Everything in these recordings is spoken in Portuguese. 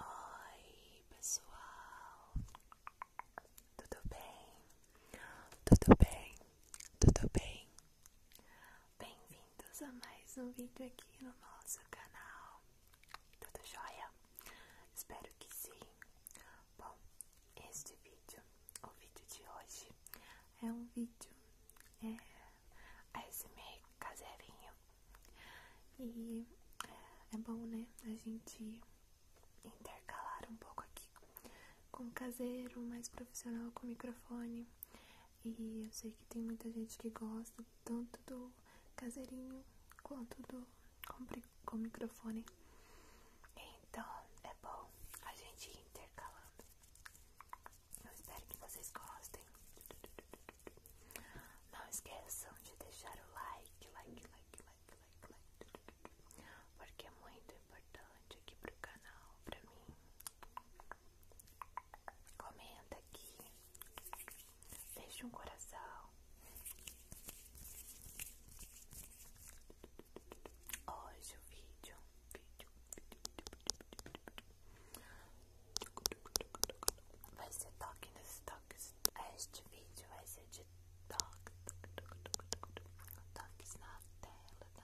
Oi, pessoal, tudo bem? Tudo bem? Tudo bem? Bem-vindos a mais um vídeo aqui no nosso canal. Tudo jóia? Espero que sim. Bom, este vídeo, o vídeo de hoje, é um vídeo é, ASMR caseirinho. E é, é bom, né, a gente intercalar um pouco aqui com caseiro, mais profissional com microfone. E eu sei que tem muita gente que gosta tanto do caseirinho quanto do com, com microfone. Então é bom a gente ir intercalando. Eu espero que vocês gostem. Não esqueçam de deixar o like, like, like, like, like porque é muito importante aqui pro canal, pra mim. Comenta aqui, deixa um coração. Hoje o vídeo, vídeo, vídeo vai ser toque nos toques. Este vídeo vai ser de toque, toque, toque, toque, toque, toques na tela,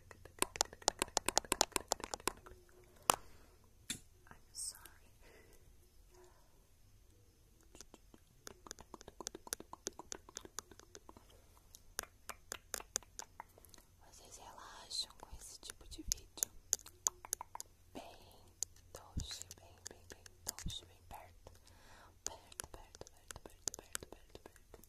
I'm Vocês relaxam com esse tipo de vídeo? Bem doce, bem, bem, bem doce, bem Perto, perto, perto, perto, perto, perto, perto.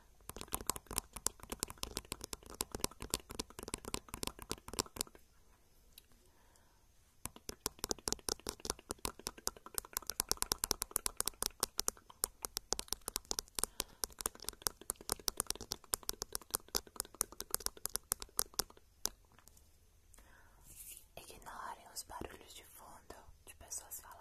Ignorem os barulhos de fundo de pessoas falando.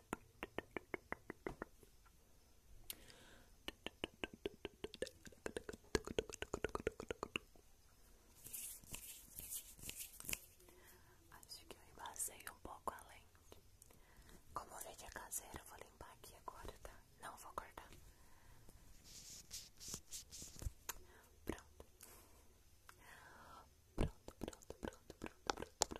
Acho que eu embacei um pouco além. Como veio de é caseiro, eu vou limpar aqui agora, tá? Não vou cortar. Pronto. Pronto, pronto, pronto, pronto, pronto.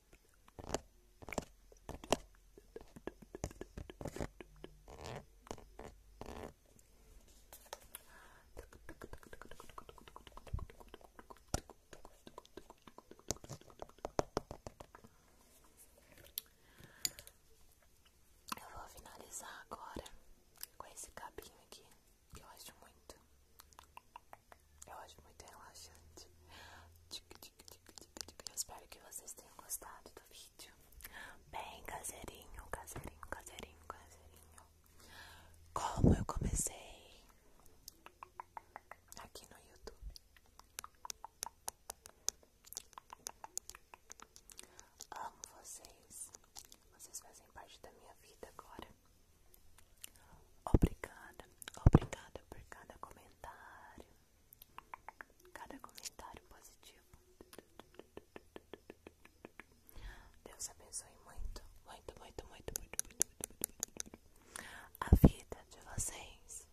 Eu vou finalizar agora com esse cabinho aqui que eu acho muito, eu acho muito relaxante. Eu espero que vocês tenham gostado do vídeo. Bem caseirinho, caseirinho, caseirinho, caseirinho. Como eu comecei aqui no YouTube. Amo vocês. Vocês fazem parte da minha vida agora. Obrigada, obrigada por cada comentário cada comentário positivo. Deus abençoe muito, muito, muito, muito, muito, a vida de vocês.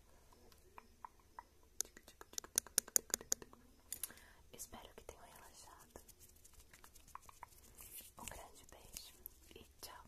Espero que tenham relaxado. Um grande beijo e tchau.